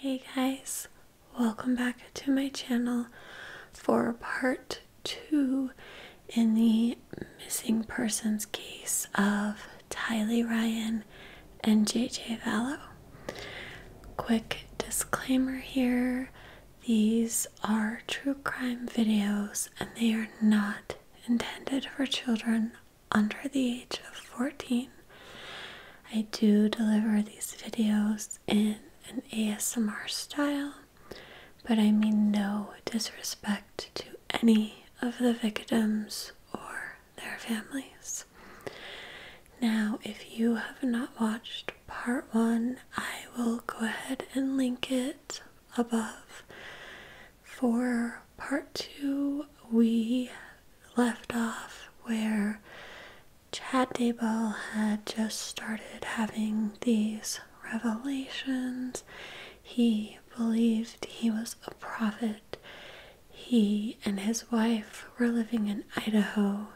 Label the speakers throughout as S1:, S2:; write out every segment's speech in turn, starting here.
S1: Hey guys, welcome back to my channel for part two in the missing persons case of Tylee Ryan Chen, and JJ Vallow. Quick disclaimer here these are true crime videos and they are not intended for children under the age of 14. I do deliver these videos in an ASMR style, but I mean no disrespect to any of the victims or their families. Now, if you have not watched part one, I will go ahead and link it above. For part two, we left off where Chad Daybell had just started having these revelations. He believed he was a prophet. He and his wife were living in Idaho,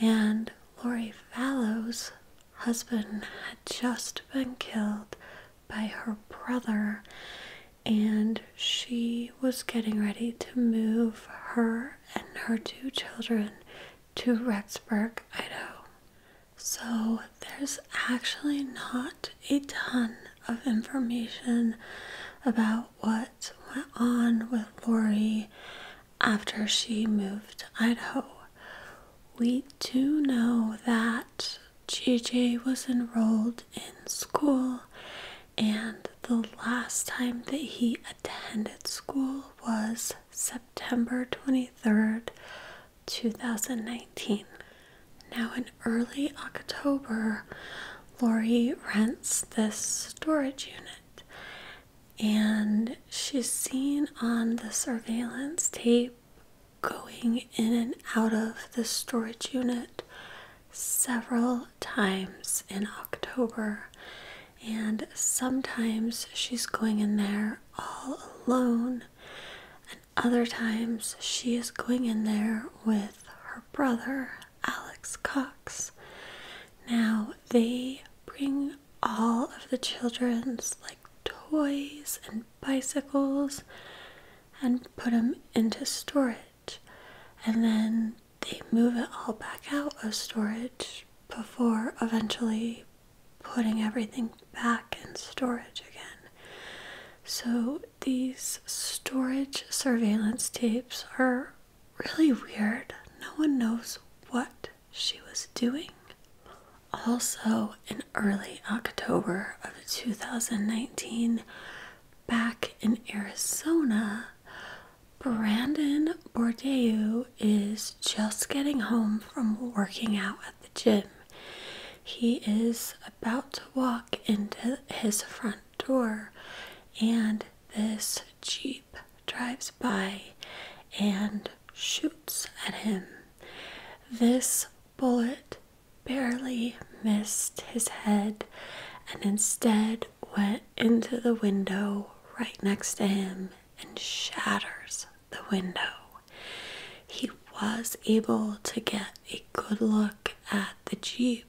S1: and Lori Fallow's husband had just been killed by her brother, and she was getting ready to move her and her two children to Rexburg, Idaho. So, there's actually not a ton of information about what went on with Lori after she moved to Idaho. We do know that JJ was enrolled in school, and the last time that he attended school was September 23rd, 2019. Now, in early October, Lori rents this storage unit, and she's seen on the surveillance tape going in and out of the storage unit several times in October. And sometimes she's going in there all alone, and other times she is going in there with her brother. Alex Cox. Now, they bring all of the children's like toys and bicycles and put them into storage, and then they move it all back out of storage before eventually putting everything back in storage again. So, these storage surveillance tapes are Really weird. No one knows what she was doing. Also, in early October of 2019, back in Arizona, Brandon Bourdeu is just getting home from working out at the gym. He is about to walk into his front door, and this jeep drives by and shoots at him. This bullet barely missed his head and instead went into the window right next to him and shatters the window. He was able to get a good look at the Jeep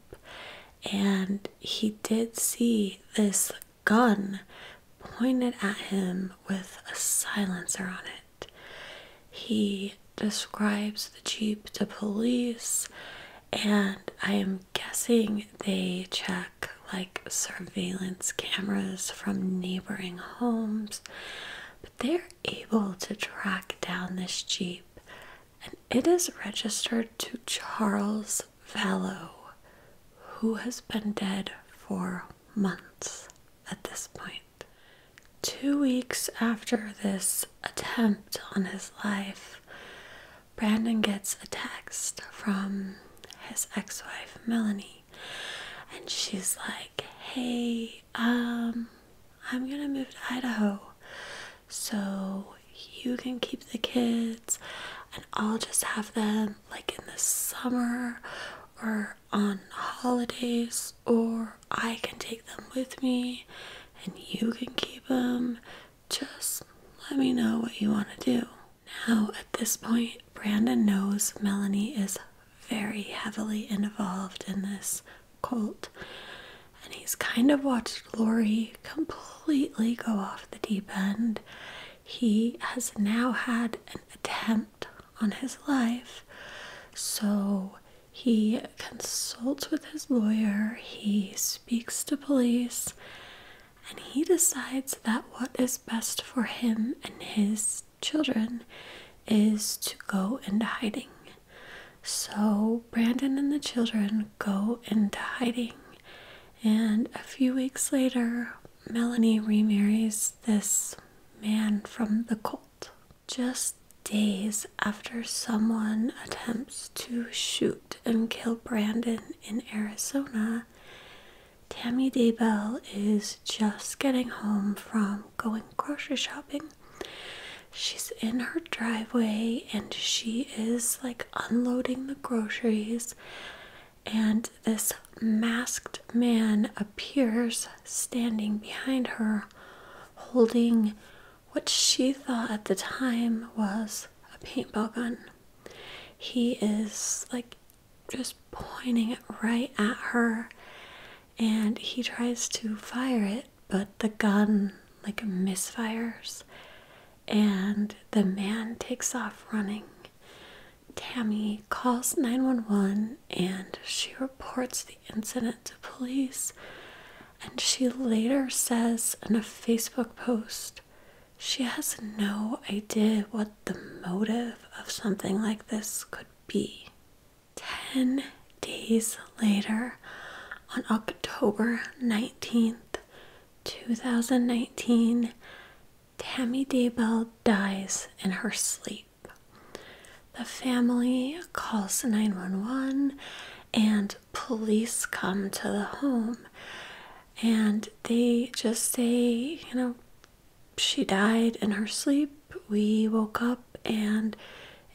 S1: and he did see this gun pointed at him with a silencer on it. He describes the Jeep to police, and I am guessing they check like surveillance cameras from neighboring homes, but they're able to track down this Jeep and it is registered to Charles Vallow, who has been dead for months at this Two weeks after this attempt on his life, Brandon gets a text from his ex wife Melanie, and she's like, Hey, um, I'm gonna move to Idaho so you can keep the kids and I'll just have them like in the summer or on holidays, or I can take them with me and you can keep them. Just let me know what you want to do. Now, at this point, Brandon knows Melanie is very heavily involved in this cult and he's kind of watched Lori completely go off the deep end. He has now had an attempt on his life, so he consults with his lawyer, he speaks to police, and he decides that what is best for him and his children is to go into hiding. So Brandon and the children go into hiding. And a few weeks later, Melanie remarries this man from the cult. Just days after someone attempts to shoot and kill Brandon in Arizona, Tammy Daybell is just getting home from going grocery shopping. She's in her driveway and she is like unloading the groceries and this masked man appears standing behind her holding what she thought at the time was a paintball gun. He is like just pointing it right at her and he tries to fire it, but the gun like misfires and the man takes off running. Tammy calls 911 and she reports the incident to police. And she later says in a Facebook post, she has no idea what the motive of something like this could be. Ten days later, on October 19th, 2019, Tammy Daybell dies in her sleep. The family calls 911 and police come to the home and they just say, you know, she died in her sleep. We woke up and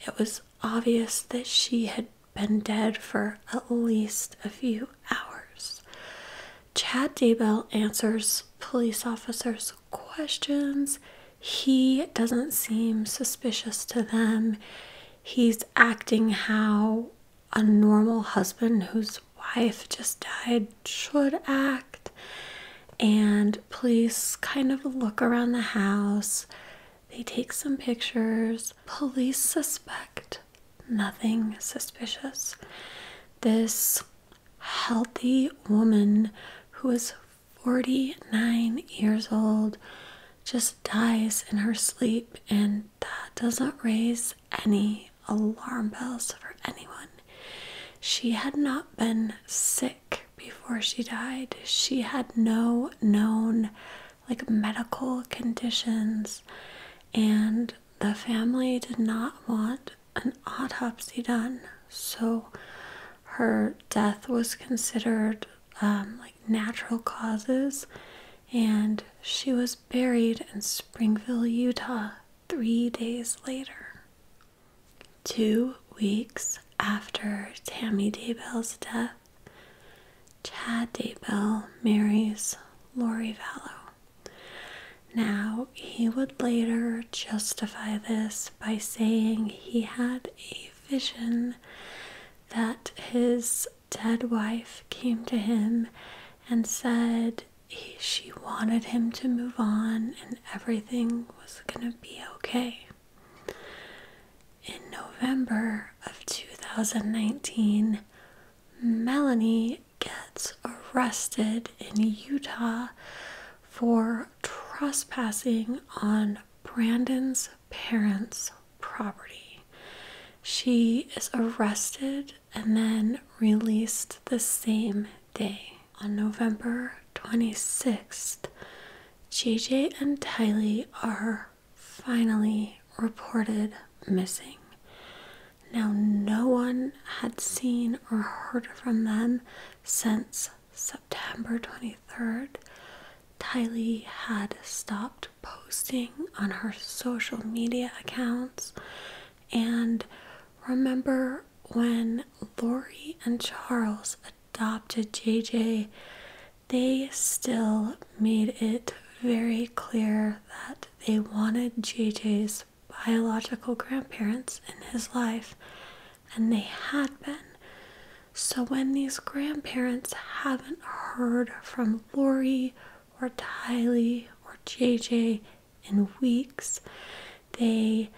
S1: it was obvious that she had been dead for at least a few hours. Chad Daybell answers police officers' questions. He doesn't seem suspicious to them. He's acting how a normal husband whose wife just died should act. And police kind of look around the house. They take some pictures. Police suspect nothing suspicious. This healthy woman who is 49 years old just dies in her sleep, and that doesn't raise any alarm bells for anyone. She had not been sick before she died, she had no known like medical conditions, and the family did not want an autopsy done, so her death was considered um, like natural causes, and she was buried in Springville, Utah, three days later. Two weeks after Tammy Daybell's death, Chad Daybell marries Lori Vallow. Now, he would later justify this by saying he had a vision that his dead wife came to him and said she wanted him to move on and everything was going to be okay. In November of 2019, Melanie gets arrested in Utah for trespassing on Brandon's parents' property. She is arrested and then released the same day. On November 26th, JJ and Tylee are finally reported missing. Now, no one had seen or heard from them since September 23rd. Tylee had stopped posting on her social media accounts. And remember when Laurie and Charles adopted JJ, they still made it very clear that they wanted JJ's biological grandparents in his life, and they had been. So when these grandparents haven't heard from Lori or Tylee or JJ in weeks, they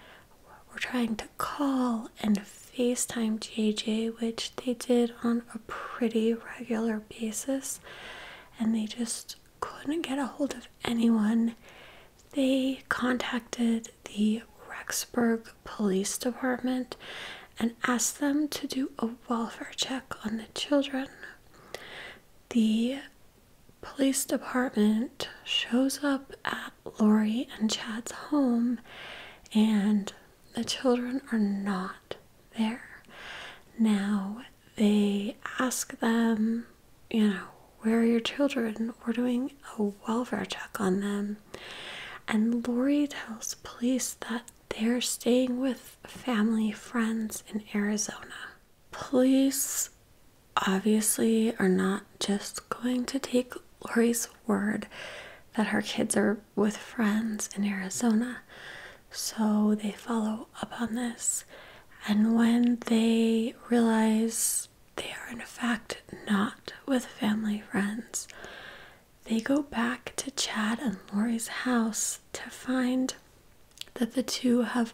S1: were trying to call and FaceTime JJ, which they did on a pretty regular basis and they just couldn't get a hold of anyone. They contacted the Rexburg Police Department and asked them to do a welfare check on the children. The police department shows up at Lori and Chad's home, and the children are not there. Now they ask them, you know, where are your children? We're doing a welfare check on them. And Lori tells police that they're staying with family friends in Arizona. Police obviously are not just going to take Lori's word that her kids are with friends in Arizona. So they follow up on this. And when they realize they are, in fact, not with family friends, they go back to Chad and Laurie's house to find that the two have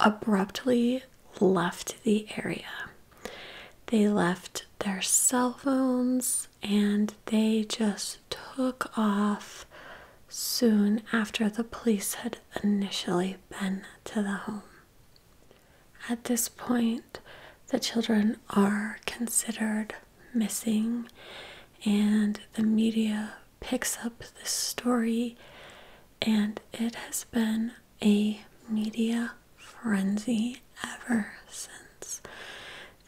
S1: abruptly left the area. They left their cell phones, and they just took off soon after the police had initially been to the home. At this point, the children are considered missing, and the media picks up the story, and it has been a media frenzy ever since.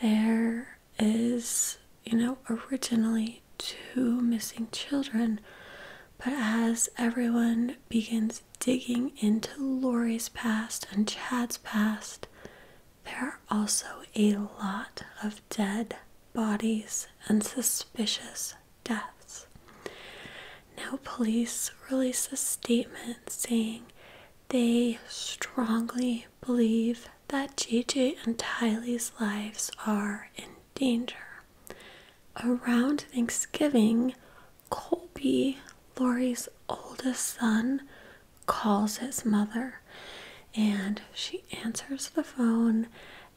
S1: There is you know, originally two missing children. But as everyone begins digging into Laurie's past and Chad's past, there are also a lot of dead bodies and suspicious deaths. Now, police release a statement saying they strongly believe that JJ and Tylee's lives are in danger. Around Thanksgiving, Colby, Lori's oldest son, calls his mother and she answers the phone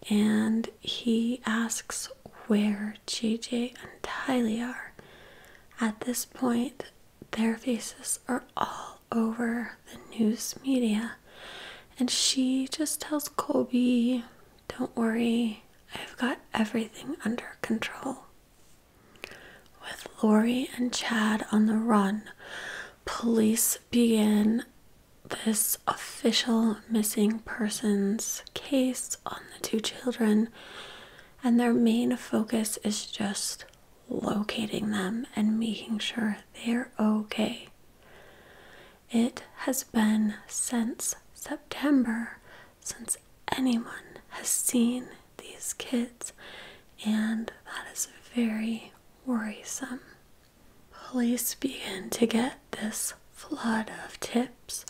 S1: and he asks where JJ and Tylee are. At this point, their faces are all over the news media. And she just tells Colby, Don't worry, I've got everything under control. With Lori and Chad on the run, police begin this official missing persons case on the two children, and their main focus is just locating them and making sure they're okay. It has been since September since anyone has seen these kids, and that is very worrisome. Police begin to get this flood of tips,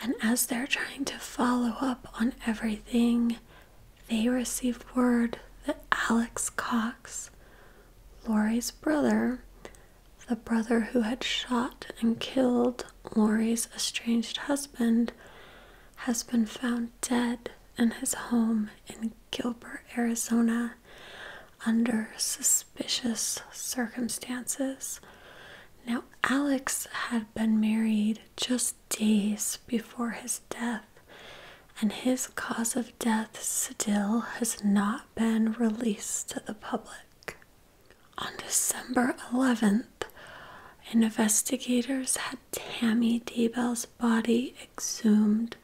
S1: and as they're trying to follow up on everything, they received word that Alex Cox, Laurie's brother, the brother who had shot and killed Laurie's estranged husband, has been found dead in his home in Gilbert, Arizona, under suspicious circumstances. Now, Alex had been married just days before his death and his cause of death still has not been released to the public. On December 11th, investigators had Tammy Daybell's body exhumed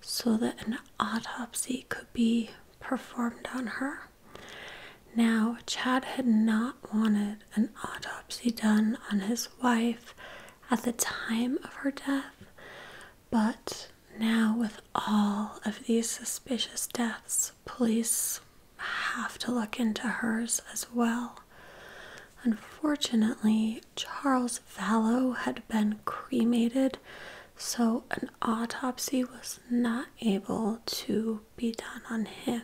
S1: so that an autopsy could be performed on her. Now, Chad had not wanted an autopsy done on his wife at the time of her death, but now, with all of these suspicious deaths, police have to look into hers as well. Unfortunately, Charles Vallow had been cremated, so an autopsy was not able to be done on him.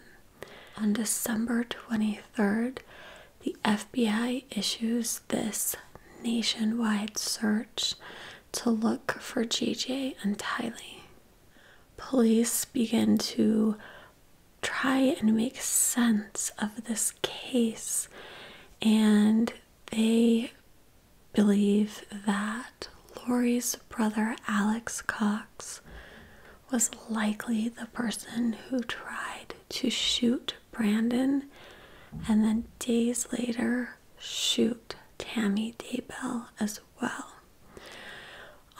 S1: On December 23rd, the FBI issues this nationwide search to look for JJ and Tylee. Police begin to try and make sense of this case, and they believe that Lori's brother Alex Cox was likely the person who tried to shoot Brandon, and then days later, shoot Tammy Daybell as well.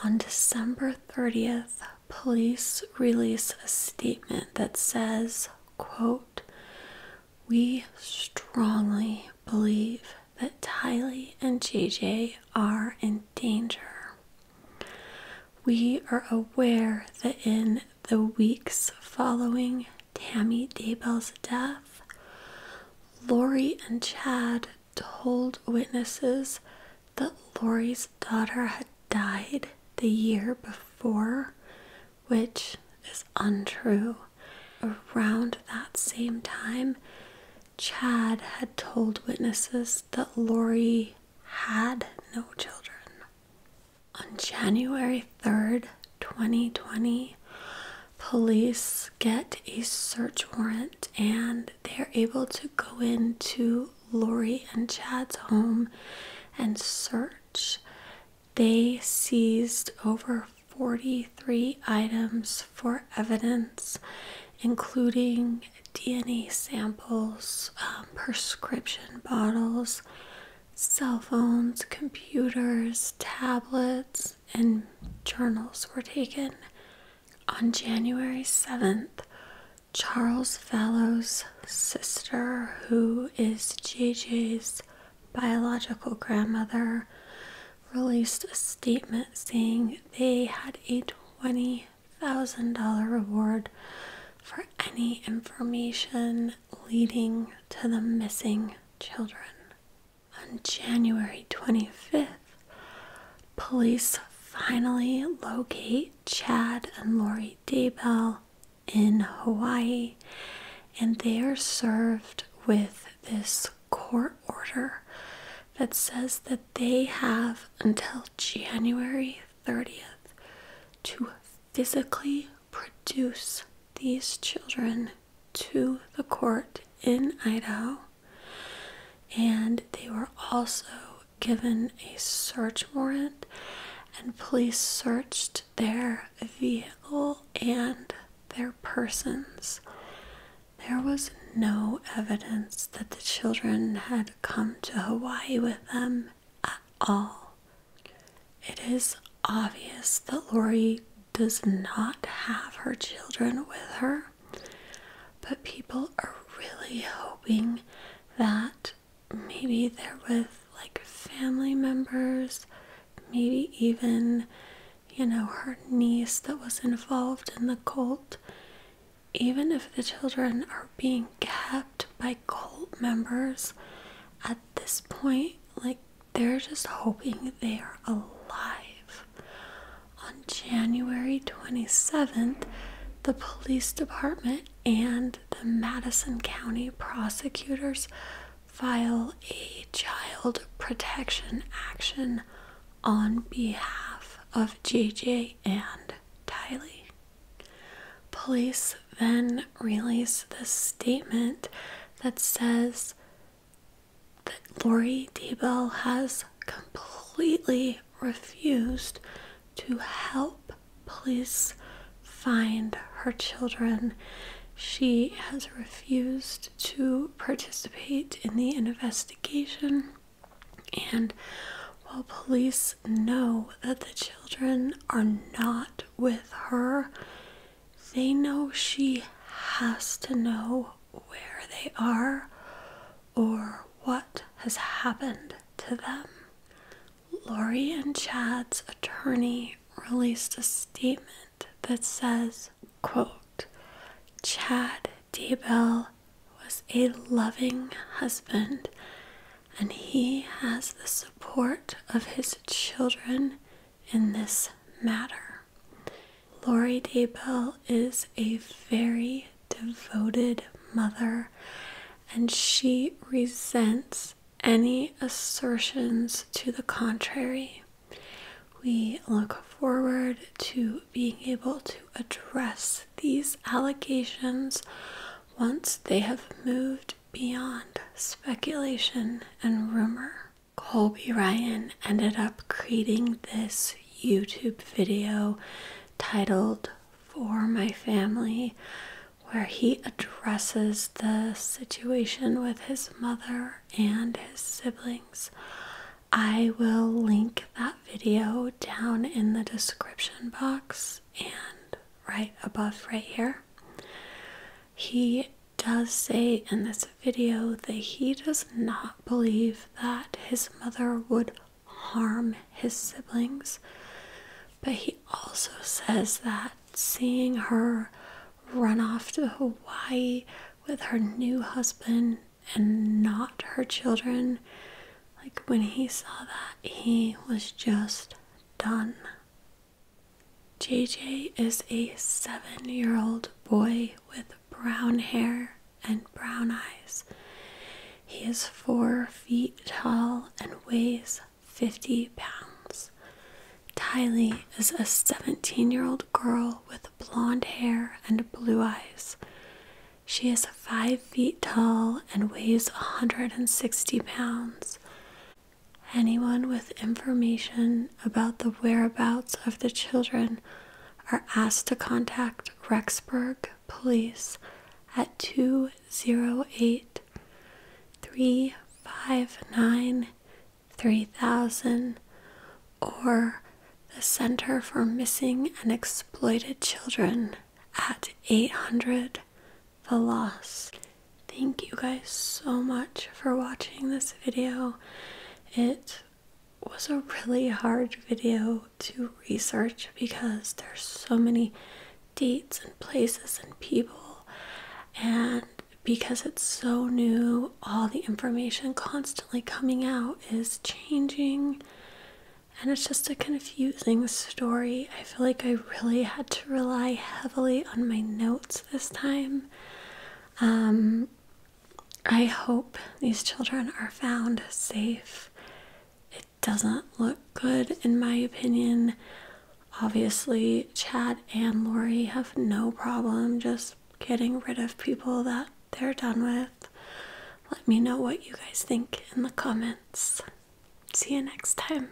S1: On December 30th, police release a statement that says, quote, we strongly believe that Tylee and JJ are in danger. We are aware that in the weeks following Tammy Daybell's death, Lori and Chad told witnesses that Lori's daughter had died the year before, which is untrue. Around that same time, Chad had told witnesses that Lori had no children. On January 3rd, 2020, police get a search warrant and they're able to go into Lori and Chad's home and search. They seized over 43 items for evidence, including DNA samples, um, prescription bottles, cell phones, computers, tablets, and journals were taken. On January 7th, Charles Fallow's sister, who is JJ's biological grandmother, released a statement saying they had a $20,000 reward for any information leading to the missing children. On January 25th, police finally locate Chad and Lori Daybell in Hawaii, and they are served with this court order that says that they have until January 30th to physically produce these children to the court in Idaho, and they were also given a search warrant, and police searched their vehicle and their persons. There was no evidence that the children had come to Hawaii with them at all. It is obvious that Lori does not have her children with her, but people are really hoping that maybe they're with like family members, maybe even, you know, her niece that was involved in the cult. Even if the children are being kept by cult members, at this point, like they're just hoping they are alive. On January 27th, the police department and the Madison County prosecutors file a child protection action on behalf of JJ and Tylee. Police then release this statement that says that Lori Debell has completely refused to help police find her children. She has refused to participate in the investigation, and while police know that the children are not with her, they know she has to know where they are or what has happened to them. Laurie and Chad's attorney released a statement that says, quote, Chad Daybell was a loving husband and he has the support of his children in this matter. Laurie Dabel is a very devoted mother and she resents any assertions to the contrary. We look forward to being able to address these allegations once they have moved beyond speculation and rumor. Colby Ryan ended up creating this YouTube video titled For My Family, where he addresses the situation with his mother and his siblings. I will link that video down in the description box and right above right here. He does say in this video that he does not believe that his mother would harm his siblings, but he also says that seeing her run off to Hawaii with her new husband and not her children, like when he saw that, he was just done. JJ is a seven year old boy with brown hair and brown eyes. He is four feet tall and weighs 50 pounds. Tylee is a 17 year old girl with blonde hair and blue eyes. She is 5 feet tall and weighs a 160 pounds. Anyone with information about the whereabouts of the children are asked to contact Rexburg Police at 208 359 3000 or the Center for Missing and Exploited Children at 800 the loss. Thank you guys so much for watching this video. It was a really hard video to research because there's so many dates and places and people and because it's so new all the information constantly coming out is changing and it's just a confusing story I feel like I really had to rely heavily on my notes this time. Um, I hope these children are found safe. It doesn't look good, in my opinion. Obviously, Chad and Lori have no problem just getting rid of people that they're done with. Let me know what you guys think in the comments. See you next time.